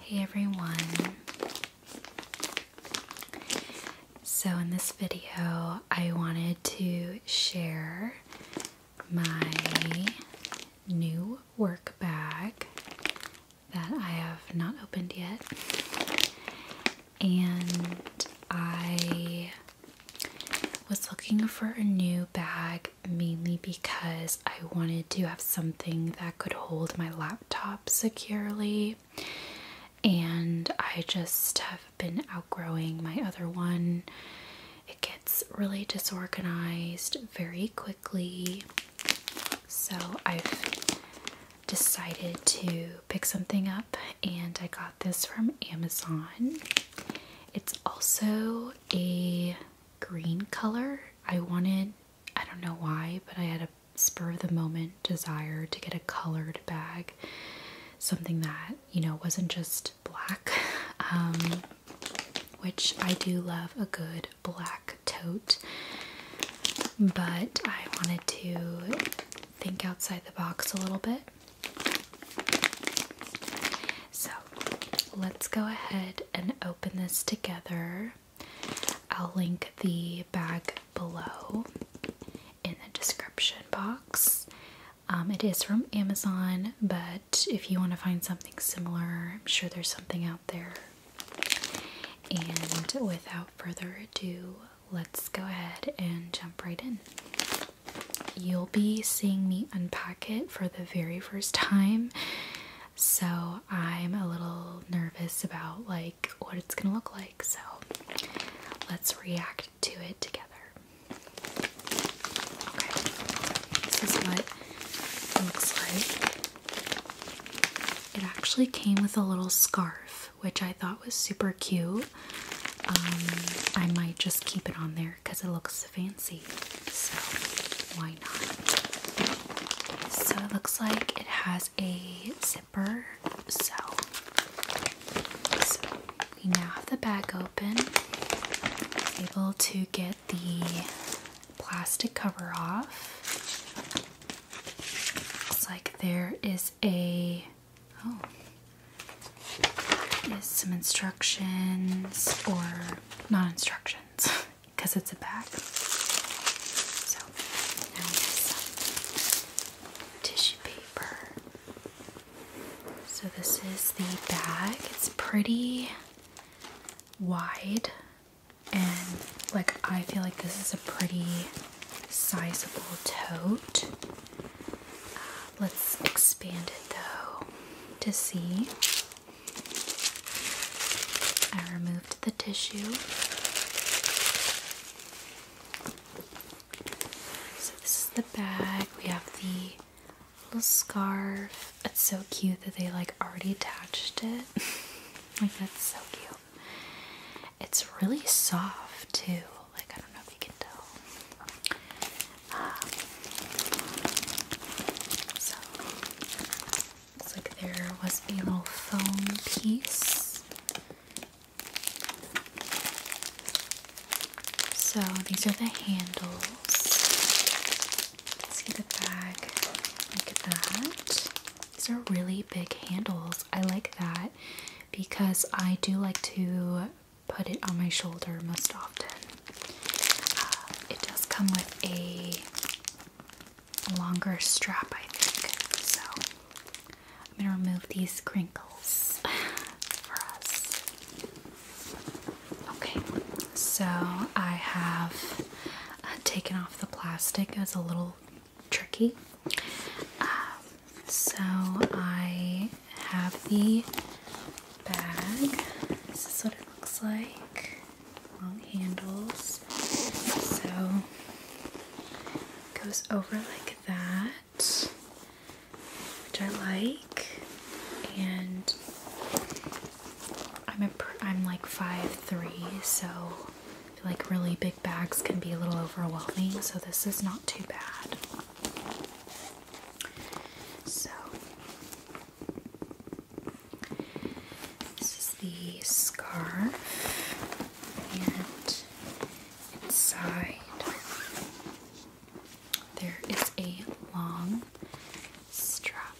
Hey everyone. So, in this video, I wanted to share my new work bag that I have not opened yet. And I was looking for a new bag mainly because I wanted to have something that could hold my laptop securely, and I just have been outgrowing my other one. It gets really disorganized very quickly, so I've decided to pick something up, and I got this from Amazon. It's also a green color. I wanted, I don't know why, but I had a spur of the moment desire to get a colored bag, something that, you know, wasn't just black. Um, which I do love a good black tote, but I wanted to think outside the box a little bit. So let's go ahead and open this together. I'll link the bag below in the description box. Um, it is from Amazon, but if you want to find something similar, I'm sure there's something out there. And without further ado, let's go ahead and jump right in. You'll be seeing me unpack it for the very first time so I'm a little nervous about like what it's gonna look like so let's react to it together okay this is what it looks like it actually came with a little scarf which I thought was super cute um, I might just keep it on there because it looks fancy, so why not? So it looks like it has a zipper, so, so we now have the bag open. Able to get the plastic cover off. Looks like there is a oh is some instructions or not instructions because it's a bag. So tissue paper. So this is the bag. It's pretty wide and like I feel like this is a pretty sizable tote. Uh, let's expand it though to see. I removed the tissue. So this is the bag. We have the little scarf. It's so cute that they like already attached it. like that's so cute. It's really soft too. Like I don't know if you can tell. Um, so looks like there was a little foam piece. So these are the handles. See the bag. Look at that. These are really big handles. I like that because I do like to put it on my shoulder most often. Uh, it does come with a longer strap, I think. So I'm gonna remove these crinkles Okay, so I have uh, taken off the plastic. It was a little tricky. Um, so I have the bag. This is what it looks like. Long handles. So goes over like that, which I like. And I'm a I'm like five three, so like really big bags can be a little overwhelming, so this is not too bad. So this is the scarf, and inside there is a long strap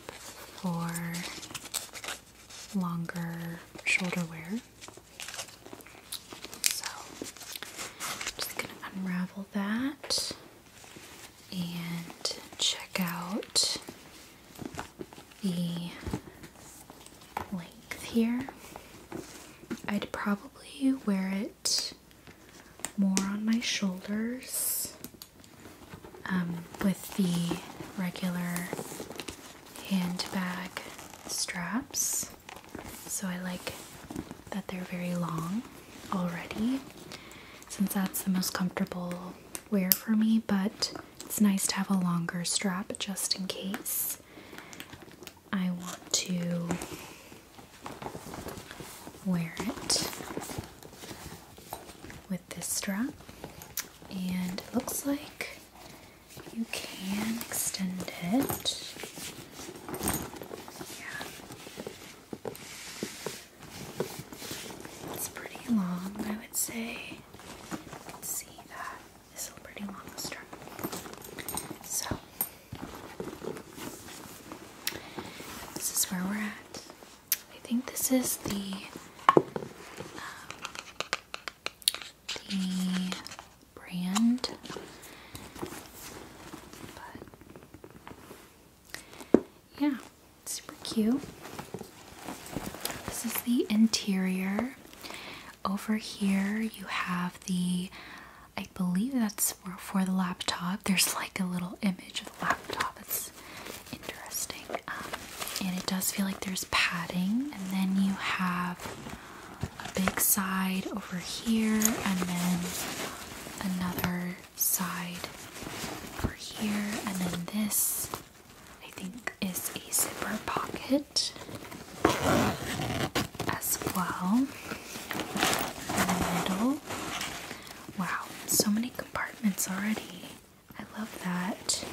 for longer shoulder wear. So I'm just going to unravel that and check out the length here. I'd probably wear it more on my shoulders um, with the regular handbag straps. So I like that they're very long already since that's the most comfortable wear for me, but it's nice to have a longer strap just in case I want to wear it with this strap. And it looks like you can extend it. Yeah. It's pretty long, I would say. see that this is a pretty long strap. So, this is where we're at. I think this is the um, the brand, yeah, super cute. This is the interior. Over here, you have the I believe that's for, the laptop. There's like a little image of the laptop. It's interesting. Um, and it does feel like there's padding. And then you have a big side over here, and then another side over here, and then this I think is a zipper pocket as well. In the middle. Wow, so many compartments already. I love that.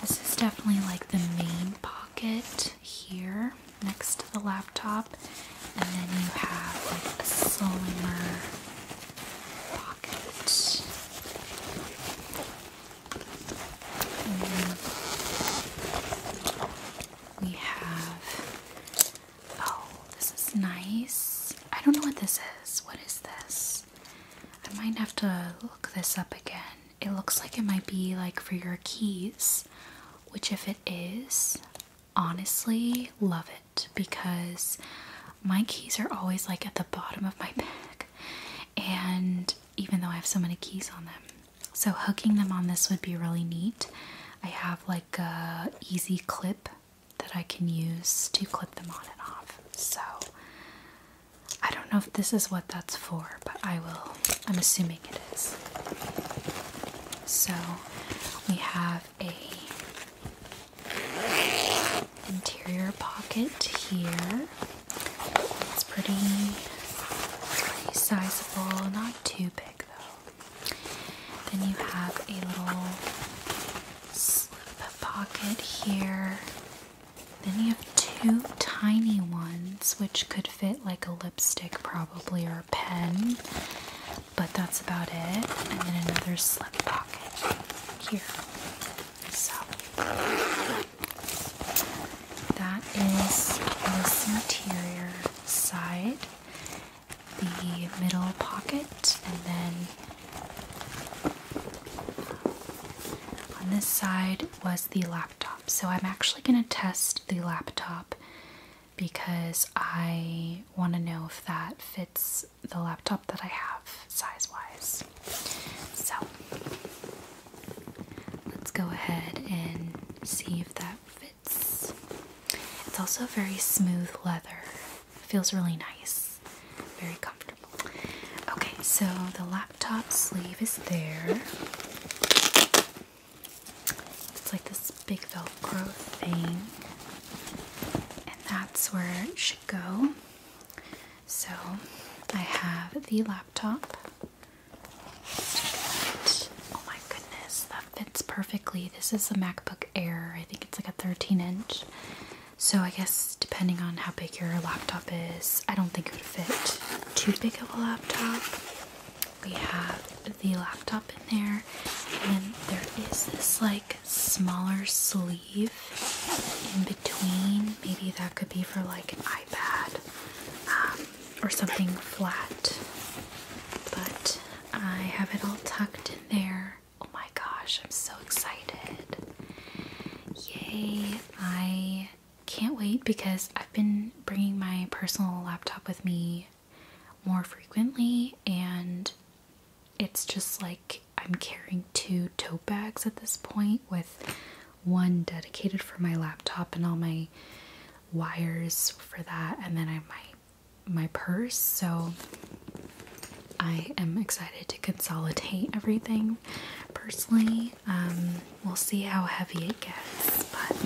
This is definitely like the main pocket here next to the laptop and then you have like a slimmer pocket. we have oh, this is nice. I don't know what this is. What is this? I might have to look this up again. It looks like it might be like for your keys, which if it is, honestly love it because my keys are always like at the bottom of my bag, and even though I have so many keys on them, so hooking them on this would be really neat. I have like a easy clip that I can use to clip them on and off. So I don't know if this is what that's for, but I will. I'm assuming it is. So we have a interior pocket here. It's pretty, it's pretty sizable, not too big though. Then you have a little slip pocket here. Then you have two tiny ones, which could fit like a lipstick probably or a pen but that's about it. And then another slip pocket here. So that is this interior side, the middle pocket, and then on this side was the laptop. So I'm actually going to test the laptop because I want to know if that fits the laptop that I have size wise. So let's go ahead and see if that fits. It's also very smooth leather, feels really nice, very comfortable. Okay, so the laptop sleeve is there. It's like this big Velcro thing, and that's where it should go. So I have the laptop. Oh my goodness, that fits perfectly. This is the MacBook Air. I think it's like a 13 inch. So I guess depending on how big your laptop is, I don't think it would fit too big of a laptop we have the laptop in there, and there is this like smaller sleeve in between. Maybe that could be for like an iPad um, or something flat, but I have it all tucked in there. Oh my gosh, I'm so excited! Yay! I can't wait because I've been bringing my personal laptop with me more frequently and it's just like I'm carrying two tote bags at this point with one dedicated for my laptop and all my wires for that and then I have my my purse so I am excited to consolidate everything personally um, we'll see how heavy it gets but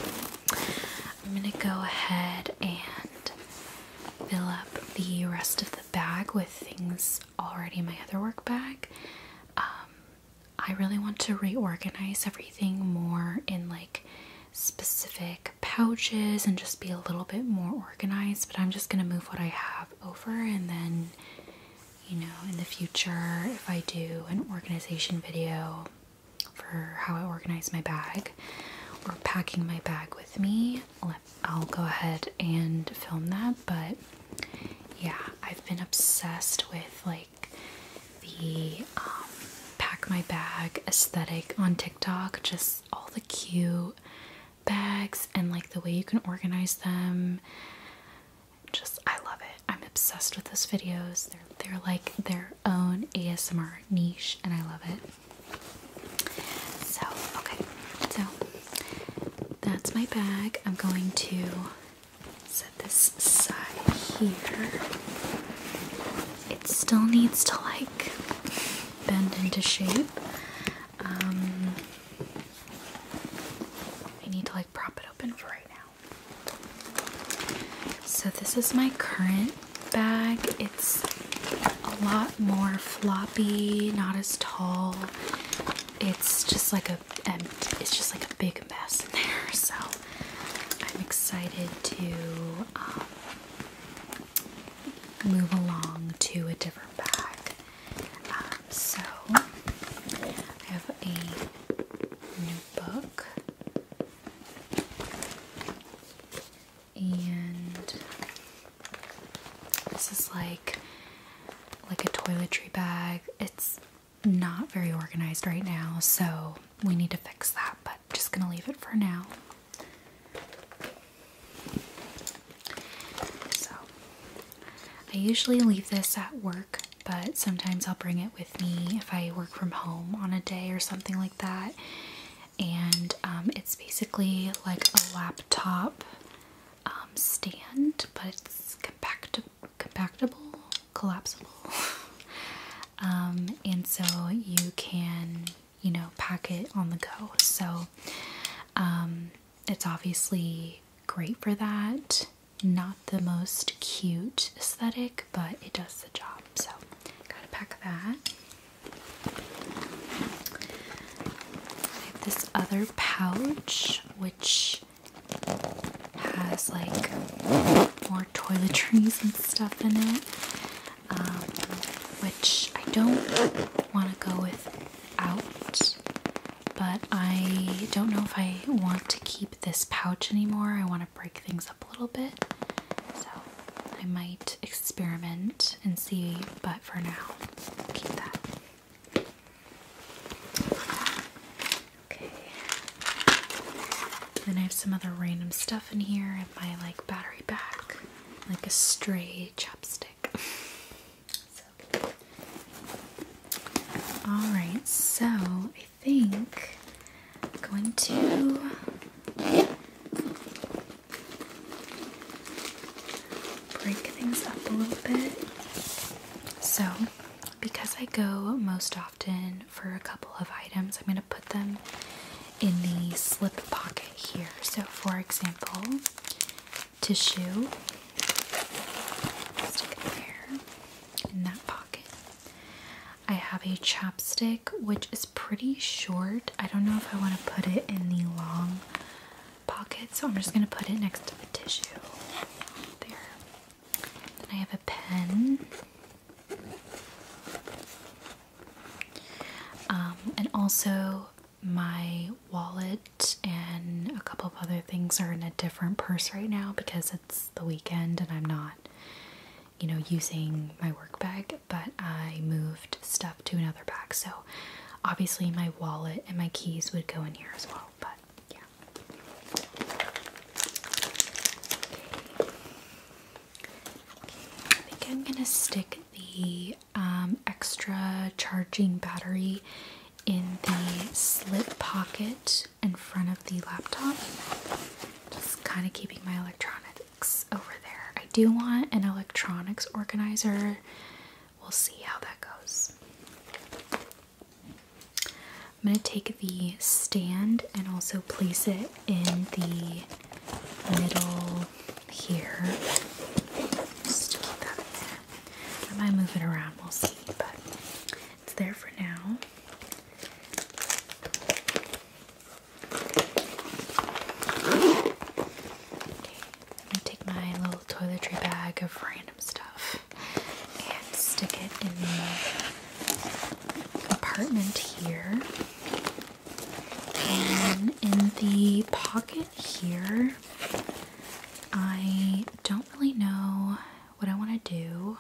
I'm going to go ahead and fill up the rest of the bag with things already in my other work bag. Um, I really want to reorganize everything more in like specific pouches and just be a little bit more organized, but I'm just going to move what I have over and then, you know, in the future, if I do an organization video, for how I organize my bag or packing my bag with me. I'll go ahead and film that, but yeah, I've been obsessed with like the um, pack my bag aesthetic on TikTok, just all the cute bags and like the way you can organize them. Just I love it. I'm obsessed with those videos. They're they're like their own ASMR niche and I love it. So, okay. So, that's my bag. I'm going to set this side here. It still needs to like bend into shape. Um, I need to like prop it open for right now. So this is my current bag. It's a lot more floppy, not as tall. It's just like a it's just like a big mess in there. So I'm excited to um, move along to a different bag. Um, so I have a new book and this is like like a toiletry bag. It's not very organized right now, so we need to fix that, but just gonna leave it for now. So I usually leave this at work, but sometimes I'll bring it with me if I work from home on a day or something like that. And um, it's basically like a laptop um, stand, but it's compact compactable, collapsible. Um, and so you can, you know, pack it on the go. So it's obviously great for that. Not the most cute aesthetic, but it does the job. So, gotta pack that. this other pouch, which has like more toiletries and stuff in it, um, which I don't want to go without. But I don't know if I want to keep this pouch anymore. I want to break things up a little bit. So I might experiment and see, but for now, keep that. Okay. Then I have some other random stuff in here. and my like battery pack, like a stray chopstick. Alright, so think I'm going to break things up a little bit. So, because I go most often for a couple of items, I'm going to put them in the slip pocket here. So, for example, tissue, there in that pocket. I have a chapstick which is pretty short. I don't know if I want to put it in the long pocket, so I'm just going to put it next to the tissue. There. Then I have a pen. Um, and also, my wallet and a couple of other things are in a different purse right now because it's the weekend and I'm not you know, using my work bag, but I moved stuff to another bag. So obviously my wallet and my keys would go in here as well, but yeah. I think I'm gonna stick the um, extra charging battery in the slip pocket in front of the laptop. Just kind of keeping my electronics over there. I do want an electronics organizer. We'll see how that goes. I'm going to take the stand and also place it in the middle here. Just I might move it around, we'll see, but it's there for now i take my little toiletry bag of random stuff and stick it in the compartment here. And in the pocket here, I don't really know what I want to do,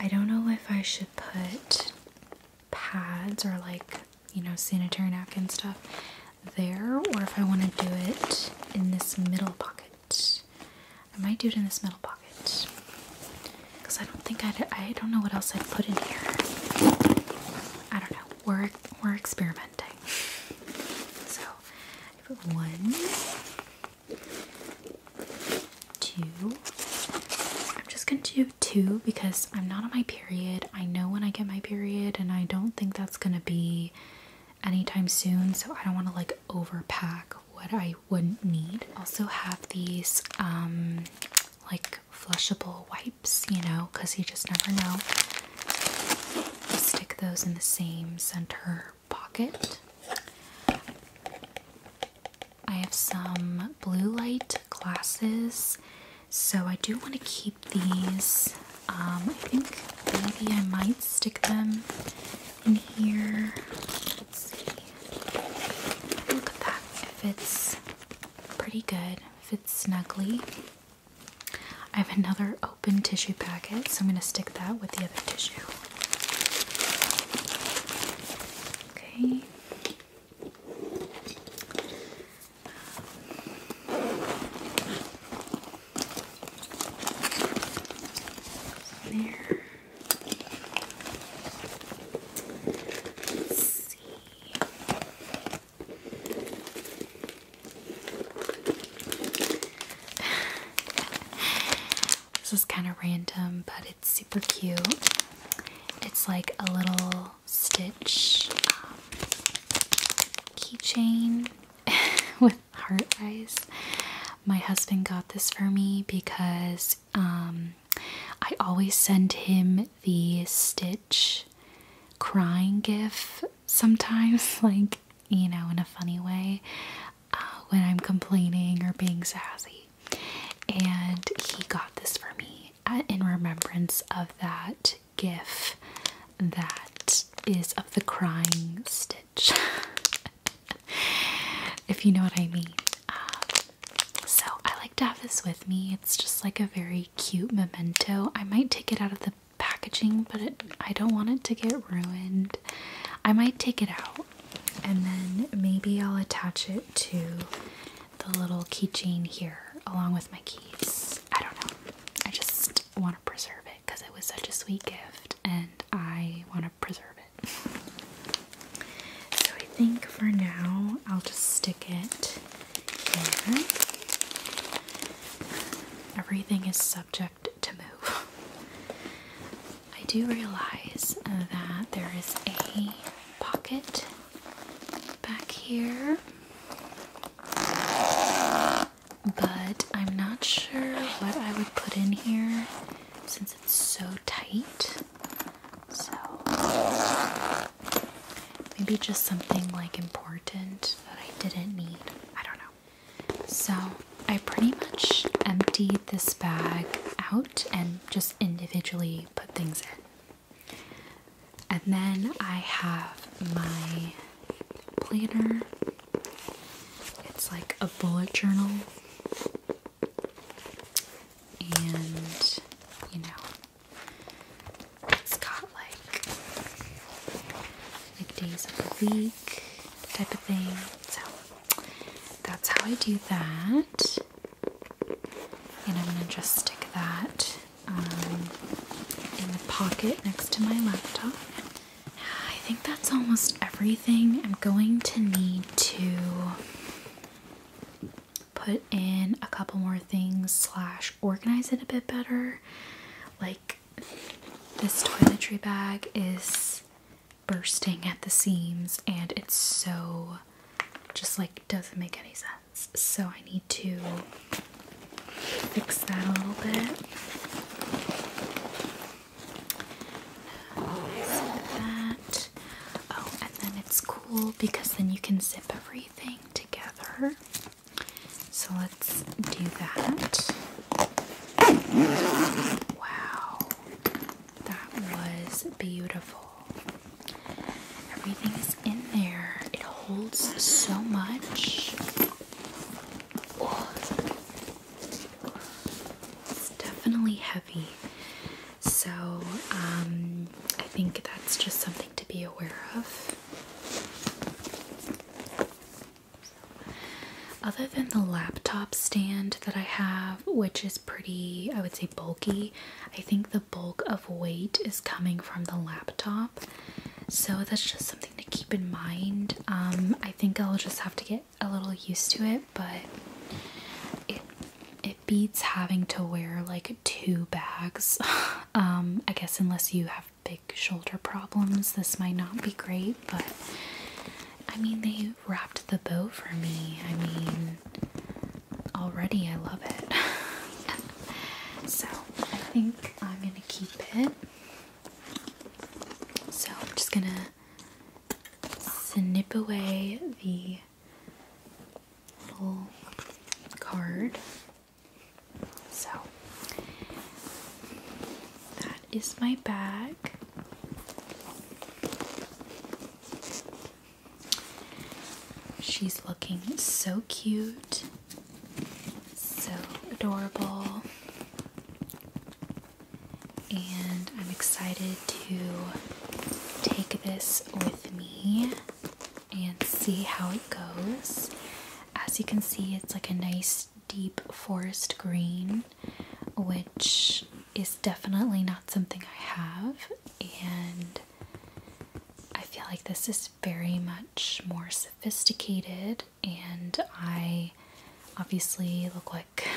I don't know if I should put pads or like, you know, sanitary napkin stuff there or if I want to do it in this middle pocket. I might do it in this middle pocket because I don't think I'd, I i do not know what else I'd put in here. I don't know. We're, we're experimenting. So one two. I'm just gonna do two because I'm not on my period. I know when I get my period, and I don't think that's gonna be anytime soon, so I don't want to like overpack what I wouldn't need. Also, have these um like flushable wipes, you know, because you just never know. Stick those in the same center pocket. I have some blue light glasses, so I do want to keep these. Um, I think maybe I might stick them in here. Let's Look at that. fits pretty good, fits snugly. I have another open tissue packet, so I'm going to stick that with the other tissue. Okay. there. Let's see. This is kind of random, but it's super cute. It's like a little stitch um, keychain with heart eyes. My husband got this for me because um, I always send him the stitch crying gif sometimes like you know, in a funny way uh, when I'm complaining or being sassy. And he got this for me uh, in remembrance of that gif that is of the crying stitch. if you know what I mean. Uh, so I like to have this with me. It's just like a very cute memento. I might take it out of the packaging, but I don't want it to get ruined. I might take it out and then maybe I'll attach it to the little keychain here along with my keys. I don't know. I just want to preserve it because it was such a sweet gift and I want to preserve it. So I think for now I'll just stick it here. Everything is subject to move. I do realize uh, that there is a pocket back here, but I'm not sure what I would put in here since it's so tight. So maybe just something like important that I didn't need. I don't know. So I pretty much emptied this bag out and just individually put things in. And then I have my planner. It's like a bullet journal. And, you know, it's got like, like days of the week type of thing. So that's how I do that. And I'm going to just stick that um, in the pocket next to my laptop. I think that's almost everything. I'm going to need to put in a couple more things slash organize it a bit better. Like this toiletry bag is bursting at the seams and it's so just like doesn't make any sense. So I need to fix that a little bit. Oh, oh and then it's cool because then you can zip everything together. So let's do that. Wow, that was beautiful. Everything is in there, it holds so much. Oh. it's definitely heavy. So, um, I think that's just something to be aware of other than the laptop stand that I have, which is pretty, I would say, bulky, I think the bulk of weight is coming from the laptop. So that's just something to keep in mind. Um, I think I'll just have to get a little used to it, but it beats having to wear like two bags. Um, I guess unless you have big shoulder problems, this might not be great but I mean, they wrapped the bow for me. I mean, already I love it. so I think I'm gonna keep it. So I'm just gonna snip away the little card. So that is my bag. She's looking so cute, so adorable, and I'm excited to take this with me and see how it goes. As you can see, it's like a nice deep forest green, which is definitely not something I have, and I feel like this is very much more sophisticated, and I obviously look like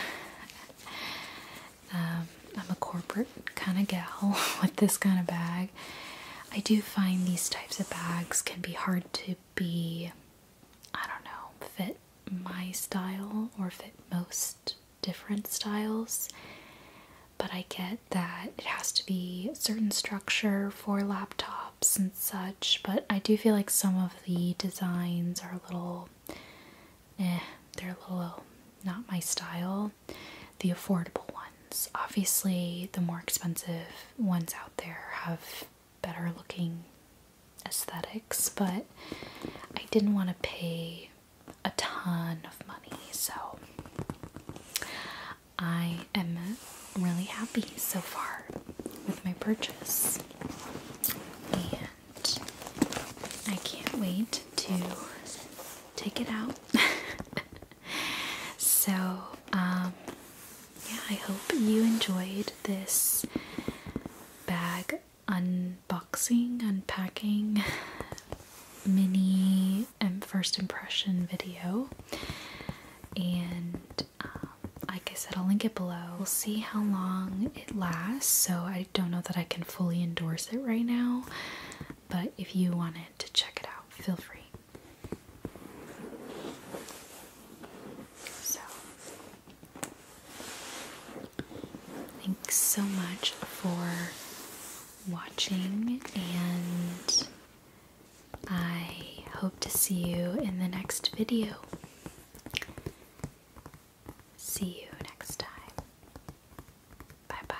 um, I'm a corporate kind of gal with this kind of bag. I do find these types of bags can be hard to be I don't know, fit my style or fit most different styles. But I get that it has to be certain structure for laptops and such, but I do feel like some of the designs are a little eh, they're a little not my style. The affordable ones. Obviously, the more expensive ones out there have better looking aesthetics, but I didn't want to pay a ton of money, so I am really happy so far with my purchase. And I can't wait to take it out. so, um, yeah, I hope you enjoyed this bag unboxing, unpacking mini and um, first impression video. And um, like I said, I'll link it below. We'll see how long it lasts. So I don't know that I can fully endorse it right now, but if you wanted to check it out, feel free. So, thanks so much for watching, and I hope to see you in the next video. See you next time. Bye bye.